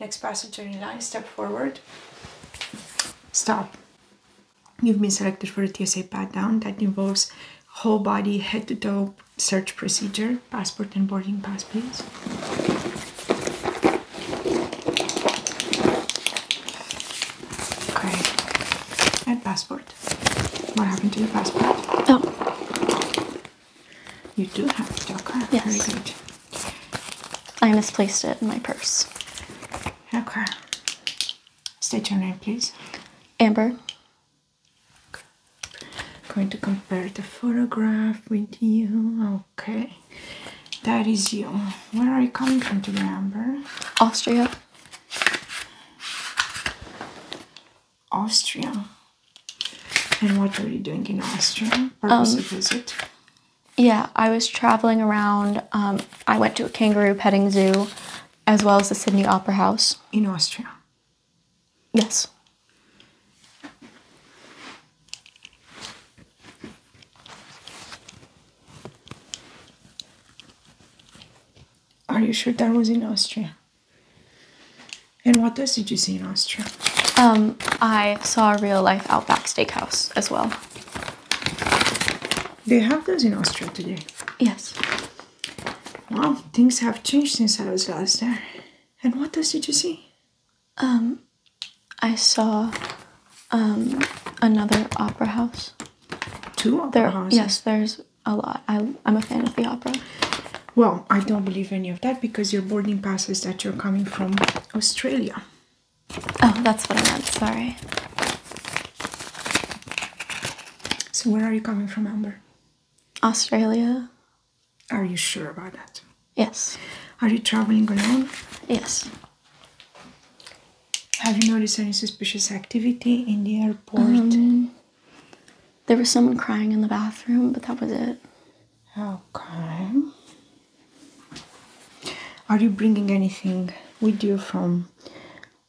Next passenger in line, step forward. Stop. You've been selected for a TSA pat down that involves whole body, head to toe search procedure. Passport and boarding pass, please. Okay. And passport. What happened to your passport? Oh. You do have a joker. Yes. I misplaced it in my purse. Okay. State your eh, name, please. Amber. Okay. Going to compare the photograph with you. Okay. That is you. Where are you coming from today, Amber? Austria. Austria. And what were you doing in Austria? Or um, visit? Yeah, I was traveling around. Um, I went to a kangaroo petting zoo as well as the Sydney Opera House. In Austria? Yes. Are you sure that was in Austria? And what else did you see in Austria? Um, I saw a real life Outback Steakhouse as well. Do you have those in Austria today. Yes. Wow, things have changed since I was last there. And what else did you see? Um, I saw um, another opera house. Two opera houses? Yes, there's a lot. I, I'm a fan of the opera. Well, I don't believe any of that because your boarding pass is that you're coming from Australia. Oh, that's what I meant. Sorry. So, where are you coming from, Amber? Australia. Are you sure about that? Yes. Are you traveling alone? Yes. Have you noticed any suspicious activity in the airport? Um, there was someone crying in the bathroom, but that was it. Okay. Are you bringing anything with you from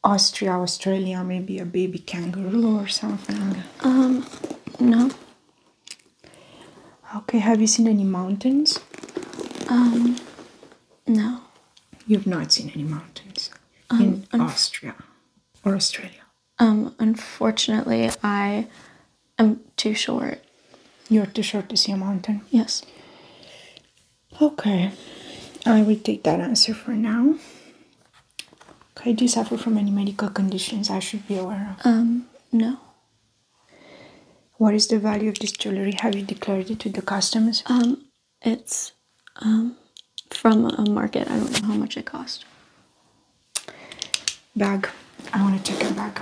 Austria, Australia? Maybe a baby kangaroo or something? Um, no. Okay, have you seen any mountains? Um, no. You've not seen any mountains in um, Austria? or Australia? Um, unfortunately, I am too short. You're too short to see a mountain? Yes. Okay, I will take that answer for now. do you suffer from any medical conditions I should be aware of? Um, no. What is the value of this jewelry? Have you declared it to the customs? Um, it's um, from a market. I don't know how much it cost bag. I want to check your bag.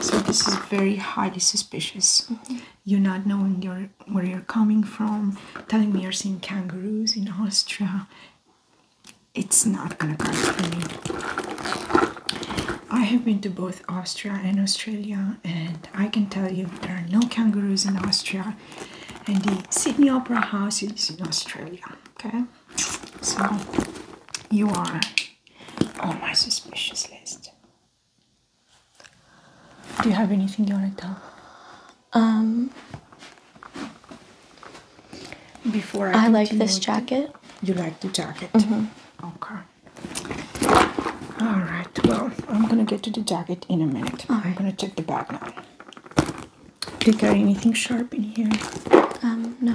So this is very highly suspicious. Mm-hmm. You're not knowing where you're coming from, telling me you're seeing kangaroos in Austria. It's not gonna cut for me. I have been to both Austria and Australia, and I can tell you there are no kangaroos in Austria. And the Sydney Opera House is in Australia. Okay, so you are on my suspicious list. Do you have anything you want to tell? Um. Before I, I like this jacket. You like the jacket? hmm Okay. All right. Well, I'm gonna get to the jacket in a minute. i right. I'm gonna check the bag now. Did you carry anything sharp in here? Um, no.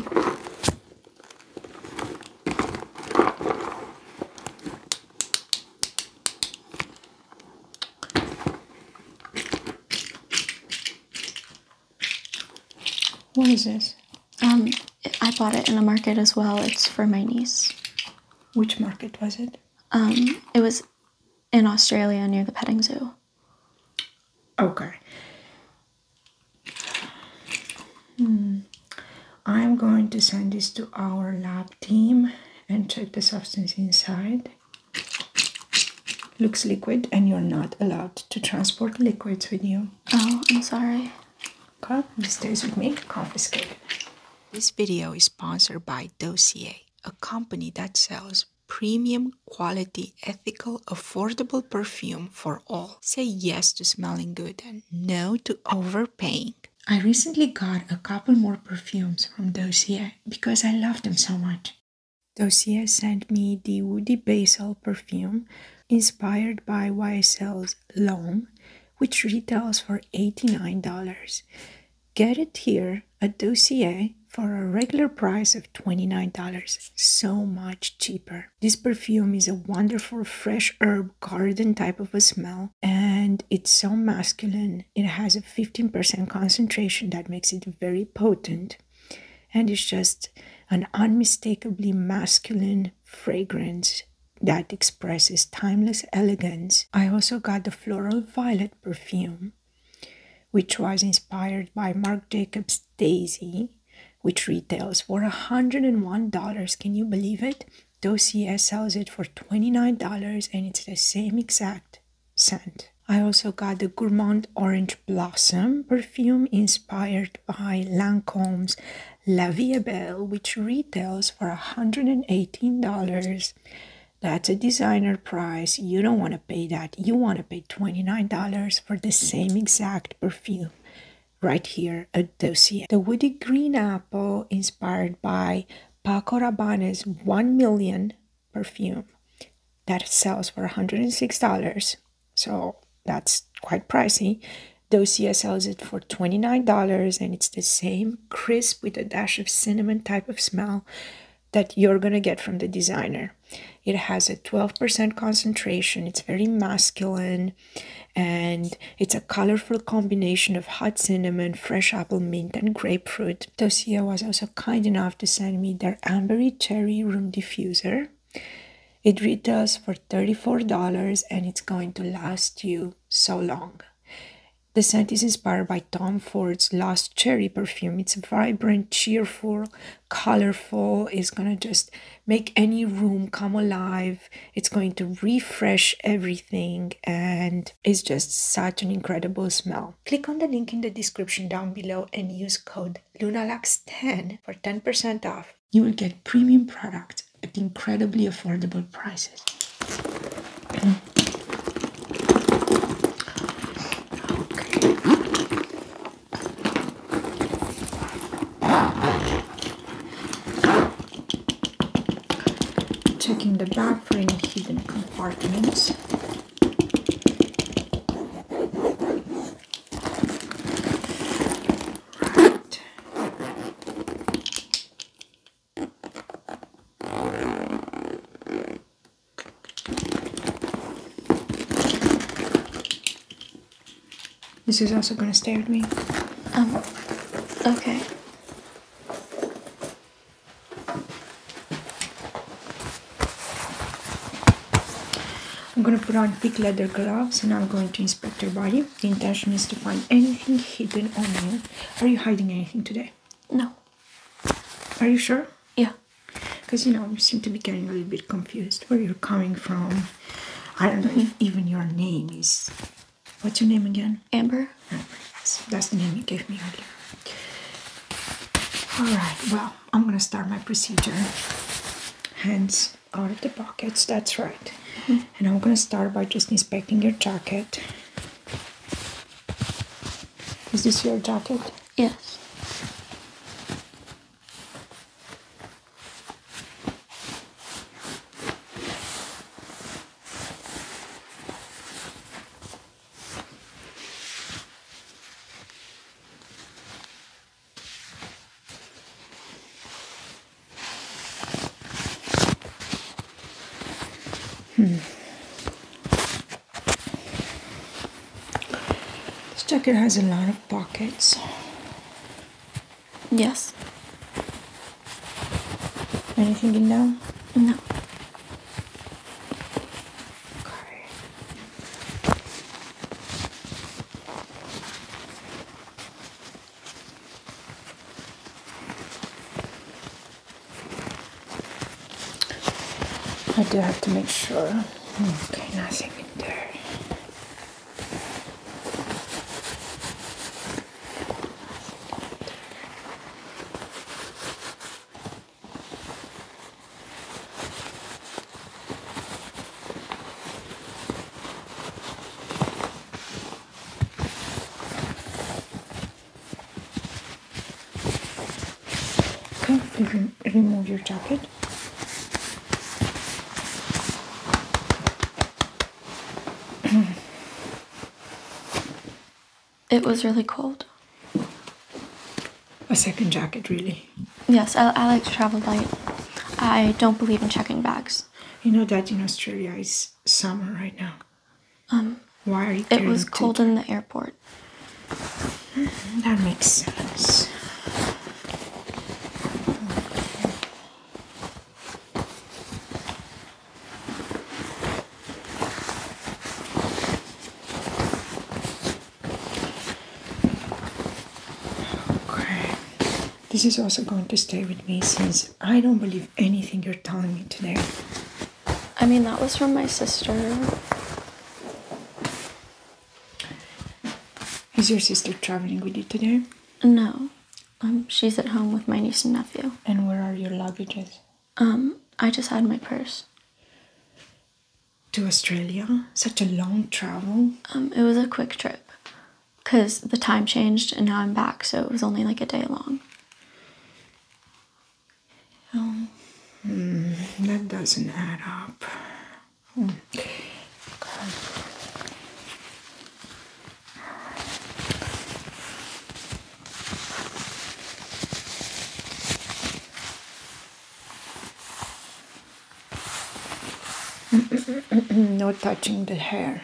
What is this? Um, I bought it in a market as well. It's for my niece. Which market was it? Um, it was in Australia near the petting zoo. Okay. Hmm. I'm going to send this to our lab team and check the substance inside. Looks liquid and you're not allowed to transport liquids with you. Oh, I'm sorry. Okay, this stays with me, confiscated. This video is sponsored by Dossier, a company that sells premium quality, ethical, affordable perfume for all. Say yes to smelling good and no to overpaying. I recently got a couple more perfumes from Dossier because I love them so much. Dossier sent me the Woody Basil perfume inspired by YSL's Long, which retails for $89. Get it here a dossier for a regular price of $29, so much cheaper. This perfume is a wonderful fresh herb garden type of a smell and it's so masculine. It has a 15% concentration that makes it very potent and it's just an unmistakably masculine fragrance that expresses timeless elegance. I also got the Floral Violet perfume which was inspired by Marc Jacobs' Daisy, which retails for $101. Can you believe it? Dossier sells it for $29 and it's the same exact scent. I also got the Gourmand Orange Blossom perfume inspired by Lancome's La Vie Belle, which retails for $118. That's a designer price. You don't want to pay that. You want to. Paid $29 for the same exact perfume right here at Dossier. The woody green apple inspired by Paco Rabanne's 1 million perfume that sells for $106. So that's quite pricey. Dossier sells it for $29 and it's the same crisp with a dash of cinnamon type of smell that you're going to get from the designer. It has a 12% concentration, it's very masculine, and it's a colorful combination of hot cinnamon, fresh apple mint, and grapefruit. Tosia was also kind enough to send me their Ambery Cherry Room Diffuser. It retails for $34 and it's going to last you so long. The scent is inspired by Tom Ford's Last Cherry perfume. It's vibrant, cheerful, colorful. It's going to just make any room come alive. It's going to refresh everything and it's just such an incredible smell. Click on the link in the description down below and use code LUNALUX10 for 10% off. You will get premium products at incredibly affordable prices. Okay. Checking the bag for any hidden compartments. This is also gonna stay with me. Um, okay. I'm gonna put on thick leather gloves and I'm going to inspect your body. The intention is to find anything hidden on you. Are you hiding anything today? No. Are you sure? Yeah. Because you know, you seem to be getting a little bit confused where you're coming from. I don't know if mm-hmm. even your name is. What's your name again? Amber. Amber, That's the name you gave me earlier. Alright, well, I'm gonna start my procedure. Hands out of the pockets, that's right. Mm-hmm. And I'm gonna start by just inspecting your jacket. Is this your jacket? Yes. Hmm. This jacket has a lot of pockets. Yes. Anything in there? No. Okay. I do have to make sure. Okay, nothing in there. Okay, please remove your jacket. it was really cold. A second jacket, really? Yes, I, like to travel light. I don't believe in checking bags. You know that in Australia it's summer right now. Um, why are you? It was cold in the airport. Mm, that makes sense. Okay. This is also going to stay with me since I don't believe anything you're telling me today. I mean, that was from my sister. Is your sister traveling with you today? No. Um, she's at home with my niece and nephew. And where are your luggages? Um, I just had my purse. To Australia? Such a long travel. Um, it was a quick trip. Because the time changed and now I'm back, so it was only like a day long. Oh. Hmm, that doesn't add up. Hmm. Okay. no touching the hair.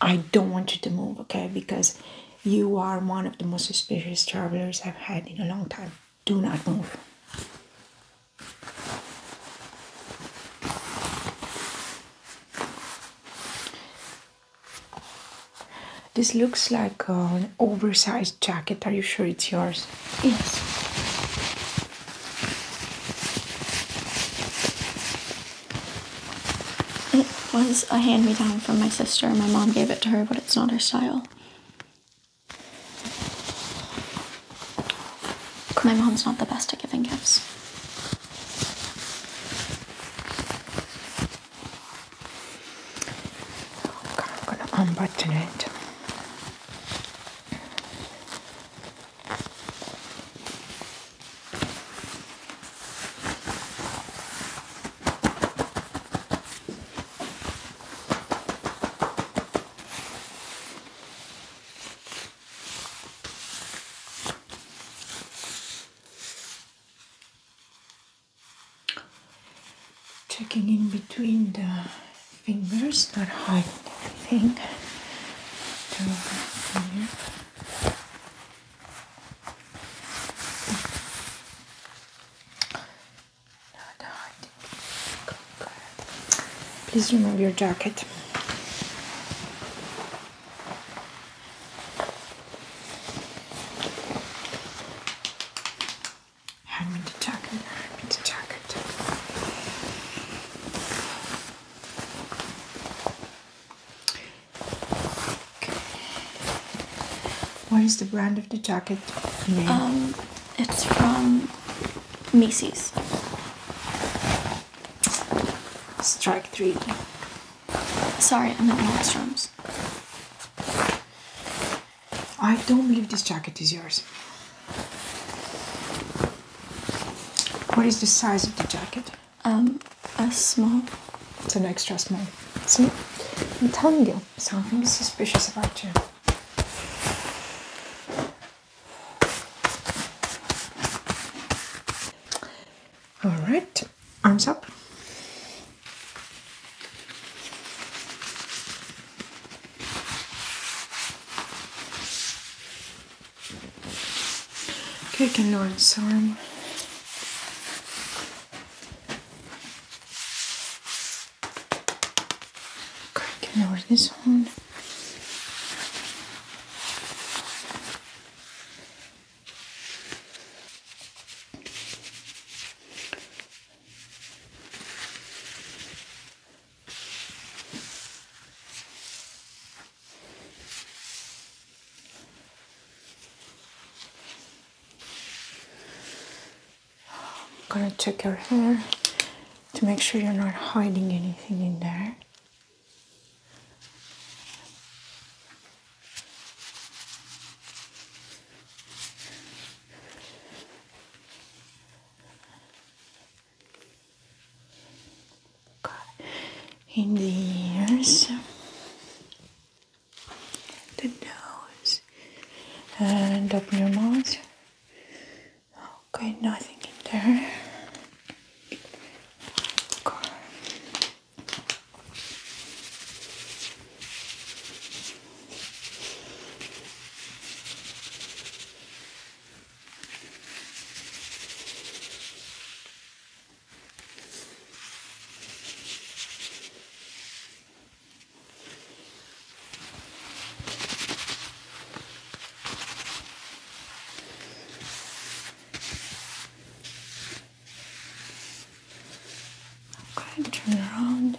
I don't want you to move, okay? Because you are one of the most suspicious travelers I've had in a long time. Do not move. This looks like an oversized jacket. Are you sure it's yours? Yes. It was a hand-me-down from my sister. My mom gave it to her, but it's not her style. My mom's not the best at giving gifts. I'm gonna unbutton it. Checking in between the fingers, not hiding anything. Please remove your jacket. Hand the jacket. Hand the jacket. What is the brand of the jacket? Um, it's from Macy's. Strike three. Sorry, I meant Nordstrom's. I don't believe this jacket is yours. What is the size of the jacket? Um, a small. It's an extra small. See? I'm telling you, something suspicious about you. Alright, arms up. Okay, you can lower this arm. Okay, can lower this one. I'm gonna check your hair to make sure you're not hiding anything in there. in the ears the nose and open your mouth. Okay, nothing in there. Okay, turn around.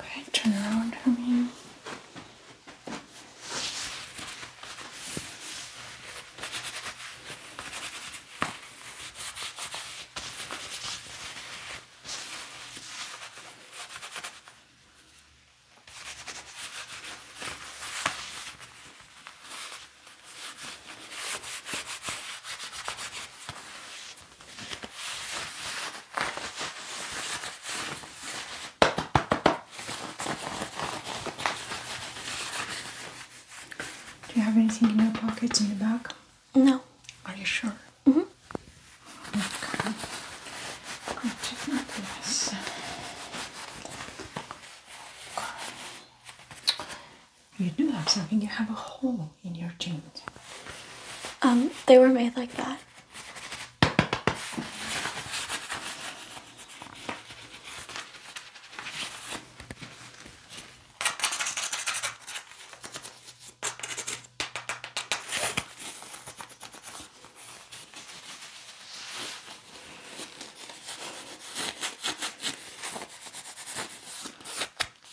Okay, turn around for me. Do you have anything in your pockets in the back? No. Are you sure? hmm Okay. Good. Yes. Okay. You do have something. You have a hole in your jeans. Um, they were made like that.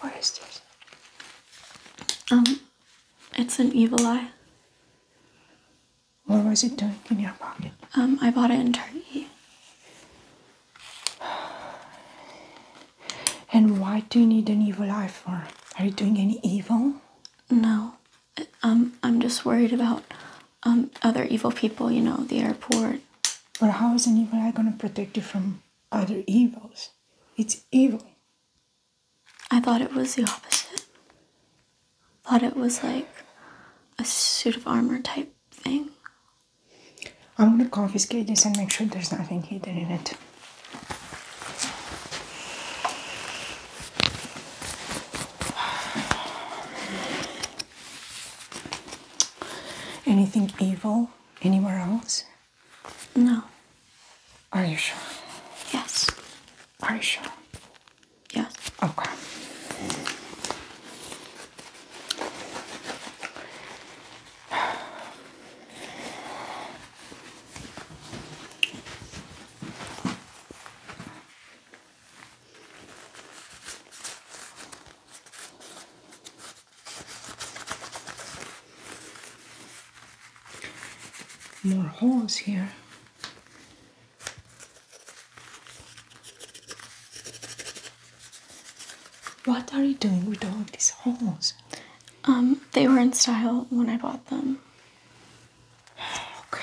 What is this? Um, it's an evil eye. What was it doing in your pocket? Um, I bought it in Turkey. And why do you need an evil eye for? Are you doing any evil? No. Um, I'm just worried about um, other evil people, you know, the airport. But how is an evil eye going to protect you from other evils? It's evil. I thought it was the opposite. Thought it was like a suit of armor type thing. I'm gonna confiscate this and make sure there's nothing hidden in it. Anything evil anywhere else? No. Are you sure? Yes. Are you sure? Yes. Okay. More holes here. What are you doing with all these holes? Um, they were in style when I bought them. Okay.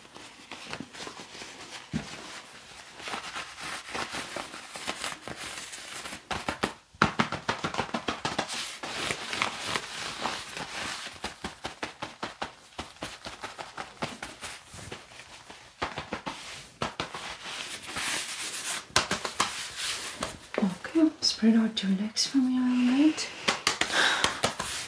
Okay, spread out your legs for me a little bit.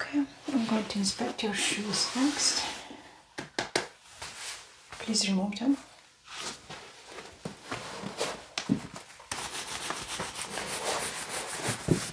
Okay, I'm going to inspect your shoes next. Please remove them.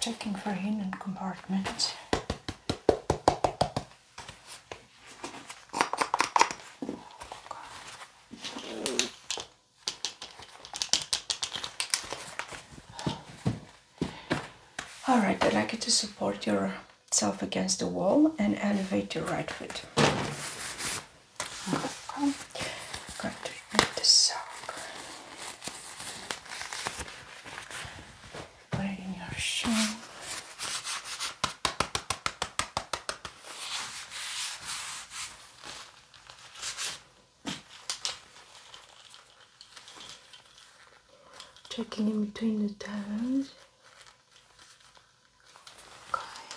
Checking for hidden compartments. Alright, I'd like you to support yourself against the wall and elevate your right foot. I'm going to remove the sock. Put it in your shoe. Checking in between the toes. Okay.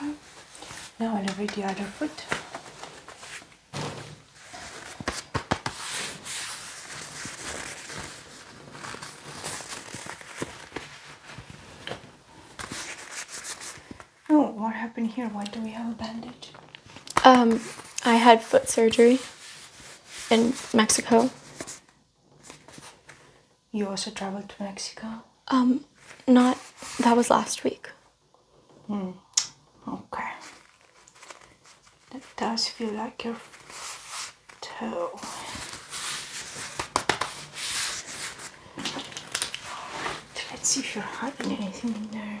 Okay, now I'll read the other foot. Oh, what happened here? Why do we have a bandage? Um, I had foot surgery in Mexico. You also traveled to Mexico? Um, not. That was last week. Mm, okay. That does feel like your toe. let's see if you're hiding anything in there.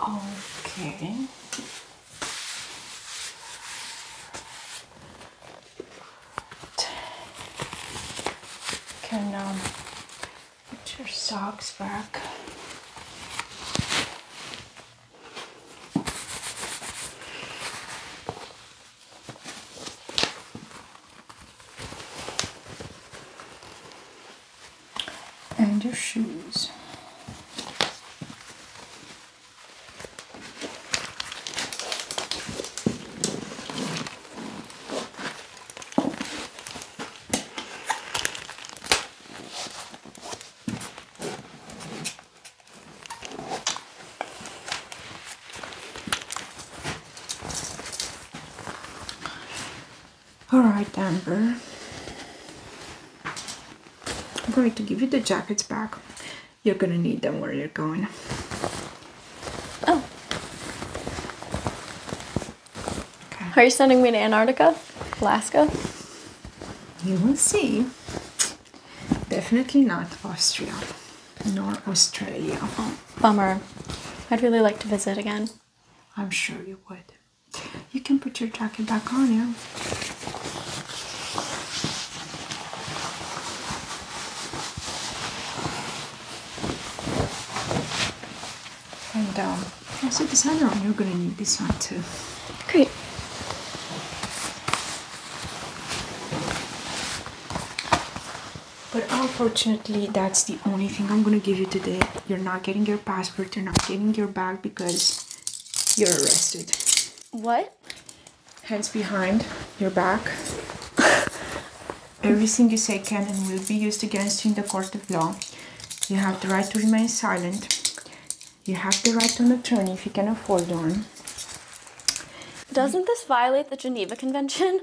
Okay. Can um, put your socks back and your shoes. All right, Amber. I'm going to give you the jackets back. You're going to need them where you're going. Oh. Are you sending me to Antarctica? Alaska? You will see. Definitely not Austria nor Australia. bummer. I'd really like to visit again. I'm sure you would. You can put your jacket back on you. And um, also this hander one, you're gonna need this one too. Great but unfortunately that's the only thing i'm gonna give you today you're not getting your passport you're not getting your bag because you're arrested what hands behind your back everything you say can and will be used against you in the court of law you have the right to remain silent you have the right to an attorney if you can afford one doesn't this violate the Geneva Convention?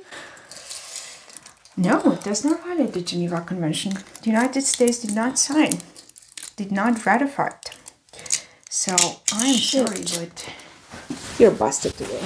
No, does not violate the Geneva Convention. The United States did not sign, did not ratify it. So I am Shit. sorry, you're busted today.